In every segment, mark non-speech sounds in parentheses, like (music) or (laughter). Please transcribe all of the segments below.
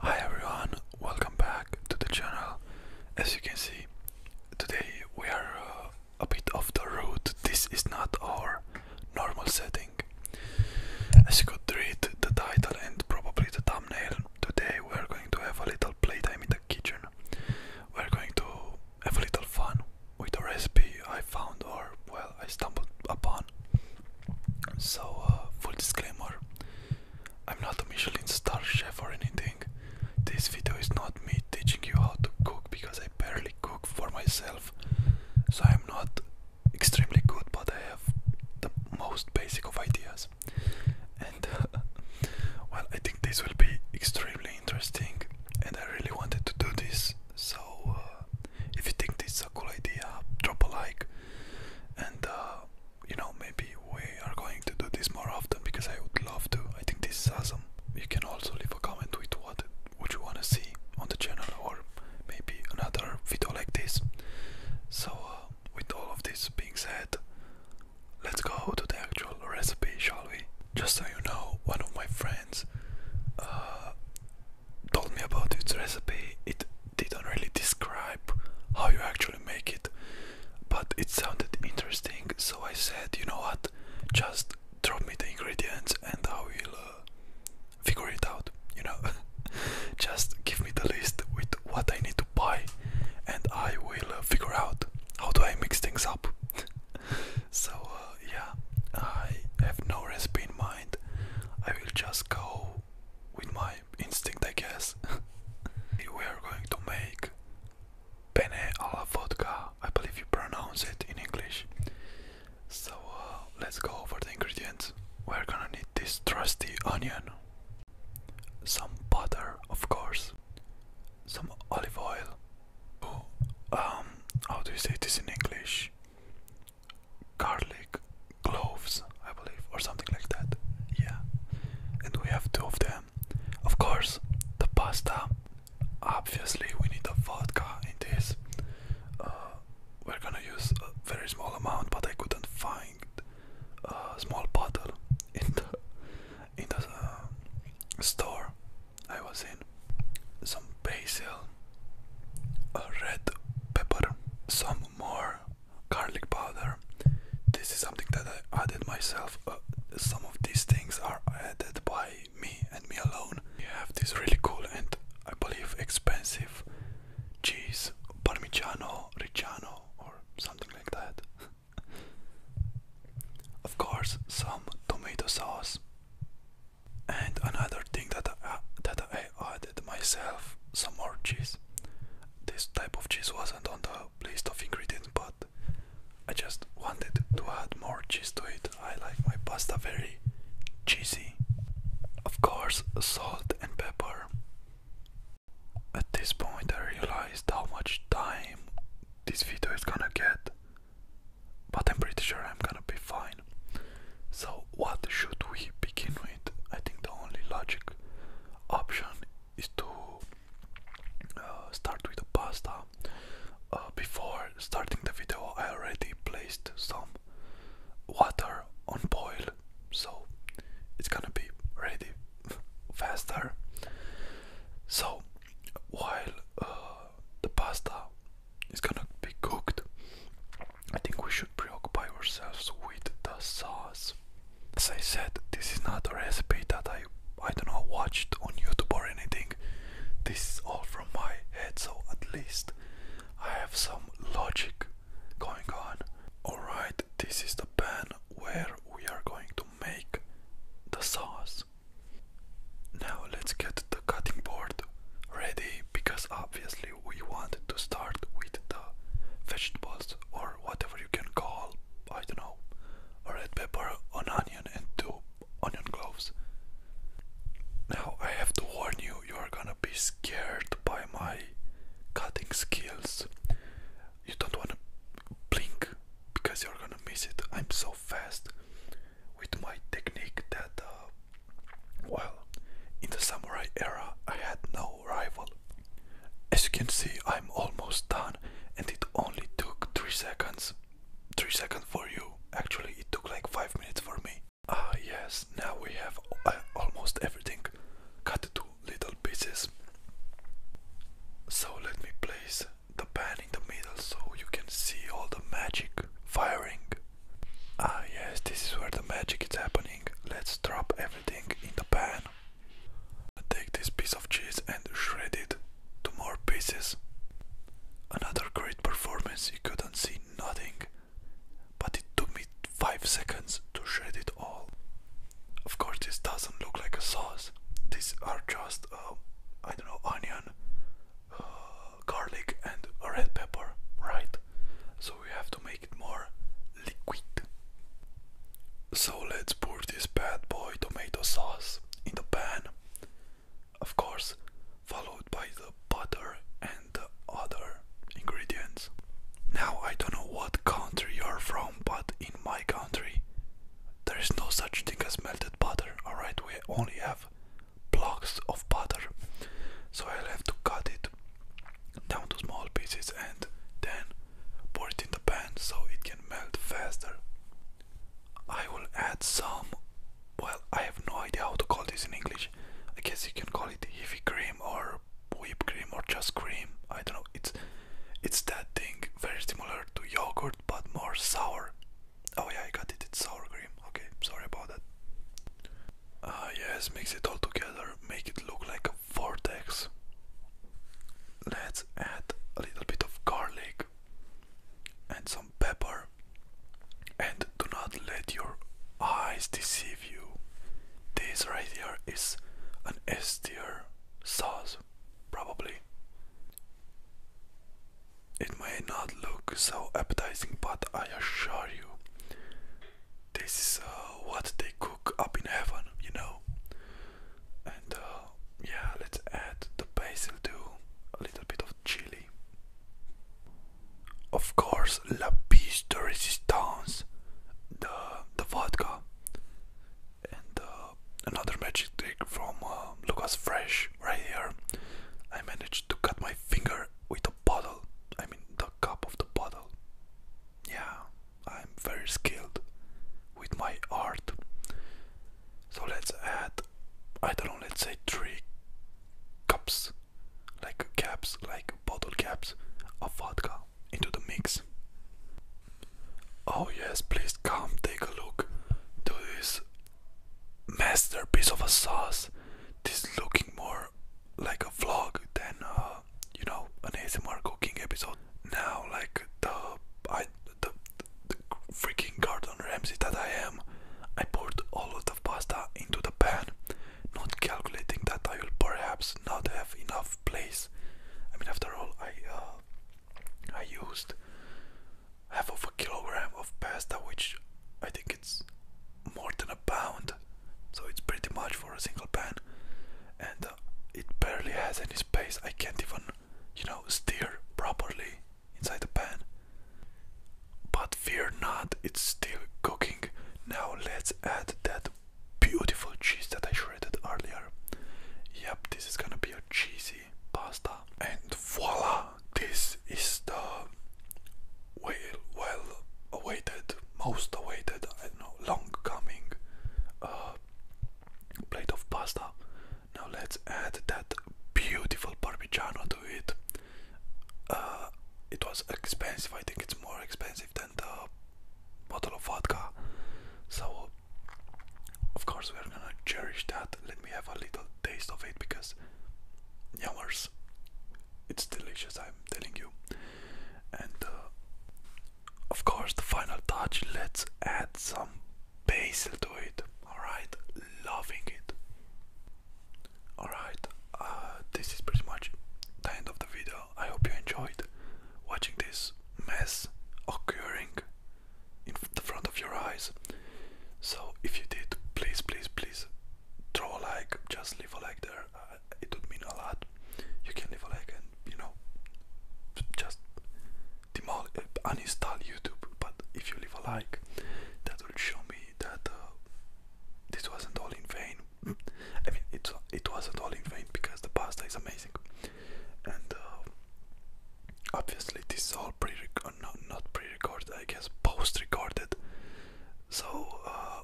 Hi everyone, welcome back to the channel. As you can see, today we are uh, a bit off the road. This is not our normal setting. As you could read the title and probably the thumbnail, today we are going to have a little playtime in the kitchen. We're going to have a little fun with a recipe I found or well I stumbled upon. So, uh, full disclaimer I'm not a Michelin star chef or anything. This video is not me teaching you how to cook because I barely cook for myself. So, I'm not extremely good, but I have the most basic of ideas. And, (laughs) well, I think this will be extremely interesting, and I really wanted to do this. So, uh, if you think this is a cool idea, drop a like. And uh, you know, maybe we are going to do this more often because I would love to. I think this is awesome. You can also leave a comment with what would you wanna see on the channel or maybe another video like this. So uh, with all of this being said, let's go to the actual recipe, shall we? Just so you know, one of my friends uh, told me about its recipe, it didn't really describe how you actually make it, but it sounded interesting, so I said, you know what, just drop me the ingredients and I will uh, figure it out, you know, (laughs) just give me the list with what I need to buy and I will uh, figure out how do I mix things up. (laughs) so uh, yeah, I have no recipe in mind. I will just go with my instinct, I guess. (laughs) we are going to make penne alla vodka. I believe you pronounce it in English. So uh, let's go over the ingredients. We're gonna need this trusty onion, some butter, of course, some olive oil. Oh, um, how do you say this in English? garlic cloves, I believe, or something like that. Yeah, and we have two of them. Of course, the pasta. Obviously, we need a vodka in this. Uh, we're gonna use a very small amount, but I couldn't find a small bottle (laughs) in the in the uh, store I was in. Some basil, a red pepper, some more garlic powder. This is something that I added myself. Uh, some of these things are added by me and me alone. You have this really cool and I believe expensive cheese, Parmigiano Reggiano or something like that. (laughs) of course, some tomato sauce. And another thing that I, that I added myself some more cheese. This type of cheese wasn't on the list of ingredients, but I just wanted to add more cheese to it. I like my pasta very cheesy. Of course, salt and pepper. At this point, I realized how much time this video is gonna get, but I'm pretty sure I'm gonna be fine. So, what should we begin with? I think the only logic option is to uh, start with the pasta. Uh, before starting the video, I already placed some water on boil, so it's gonna be ready faster. So, while uh, the pasta is gonna be cooked. I think we should preoccupy ourselves with the sauce. As I said, this is not a recipe that I I don't know watched on YouTube or anything. This is all from my head, so at least I have some logic going on. Alright, this is the pan where we are going to make the sauce. Now let's get the cutting board ready because obviously we want to start with the vegetables or whatever you can call, I don't know, a red pepper, an onion and two onion cloves. Now I have to warn you, you are gonna be scared by my cutting skills. You don't wanna blink because you're gonna miss it. I'm so fast with my technique that uh, well, in the samurai era I had no rival. As you can see, I'm almost done and it only took 3 seconds. 3 seconds for you. Actually, it took like 5 minutes for me. Ah, yes, now we have uh, almost everything cut to little pieces. So, let me place the pan in the middle so you can see all the magic firing Ah yes, this is where the magic is happening. Let's drop everything in the pan. Take this piece of cheese and shred it to more pieces. Another great performance, you couldn't see nothing, but it took me 5 seconds to shred it all. Of course, this doesn't look like a sauce, these are just, uh, I don't know, onion, uh, garlic and red pepper, right? So we have to make it more liquid. So let's pour this bad boy tomato sauce in the pan, of course, followed by the butter and the other ingredients. Now, I don't know what country you're from, but in my country, there is no such thing as melted butter, alright? We only have blocks of butter. So I'll have to cut it down to small pieces and then pour it in the pan so it can melt faster. I will add some, well, I have no idea how to call this in English. I guess you can call it heavy cream or whipped cream or just cream. I don't know. It's it's that thing very similar to yogurt but more sour. Oh yeah, I got it. It's sour cream. Okay, sorry about that. Ah, yes, mix it all together, make it look like a vortex. Let's add a little bit of garlic and some pepper. And do not let your eyes deceive you. This right here is an ester sauce, probably. It may not look so appetizing, but I assure you, this is uh, what they cook up in heaven, you know. And uh, yeah, let's add the basil too, a little bit of chili. Of course, la piece de resistance, the the vodka, and uh, another magic trick from Lucas Fresh right here. I managed to cut my finger with bottle, I mean the cup of the bottle. Yeah, I'm very skilled with my art. So let's add, I don't know, let's say three cups, like caps, like bottle caps of vodka into the mix. Oh, yes, please come take a look to this masterpiece of a sauce this is looking more like a vlog than uh, you know an ASMR cooking episode. Now, like the I the, the freaking Gordon Ramsay that I am, I poured all of the pasta into the pan, not calculating that I will perhaps not have enough place. I mean, after all, I uh, I used half of a kilogram of pasta, which I think it's more than a pound, so it's pretty much for a single pan, and uh, it barely has any space. I can't even, you know, steer properly inside the pan. But fear not, it's still cooking. Now let's add that beautiful cheese that I shredded earlier. Yep, this is gonna be a cheesy pasta. And voila! this is the well, well awaited, most awaited, I know, long coming uh, plate of pasta. Now let's add that beautiful parmigiano to it. Uh, it was expensive, I think it's more expensive than the bottle of vodka. So, of course, we're gonna cherish that. Let me have a little taste of it because, yummers, it's delicious, I'm telling you. And uh, of course, the final touch let's add some basil to it. Alright, loving it. Alright, uh, this is pretty much the end of the video. I hope you enjoyed watching this mess occurring in the front of your eyes. So, if you did, please, please, please throw a like, just leave a like there. Uh, it would mean a lot. You can leave a like and you know, just demol- uh, uninstall YouTube. But if you leave a like, that will show me that uh, this wasn't all in vain. (clears throat) I mean, it it wasn't all in vain because the pasta is amazing, and obviously this is all pre not not pre-recorded I guess post-recorded so uh,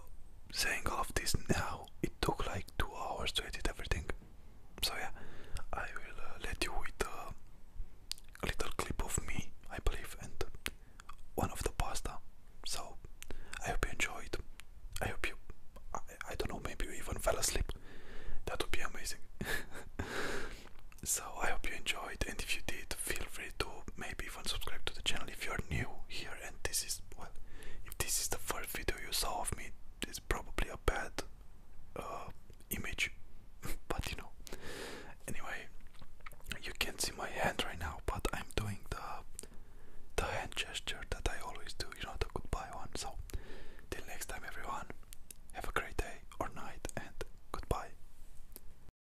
saying all of this now it took like two hours to edit everything so yeah I will uh, let you with a little clip of me I believe and one of the pasta so I hope you enjoyed I hope you I don't know maybe you even fell asleep that would be amazing (laughs) so I hope you enjoyed and if you did feel free to maybe even subscribe to the channel if you are new here and this is well if this is the first video you saw of me it's probably a bad uh, image (laughs) but you know anyway you can't see my hand right now but I'm doing the the hand gesture that I always do you know the goodbye one so till next time everyone have a great day or night and goodbye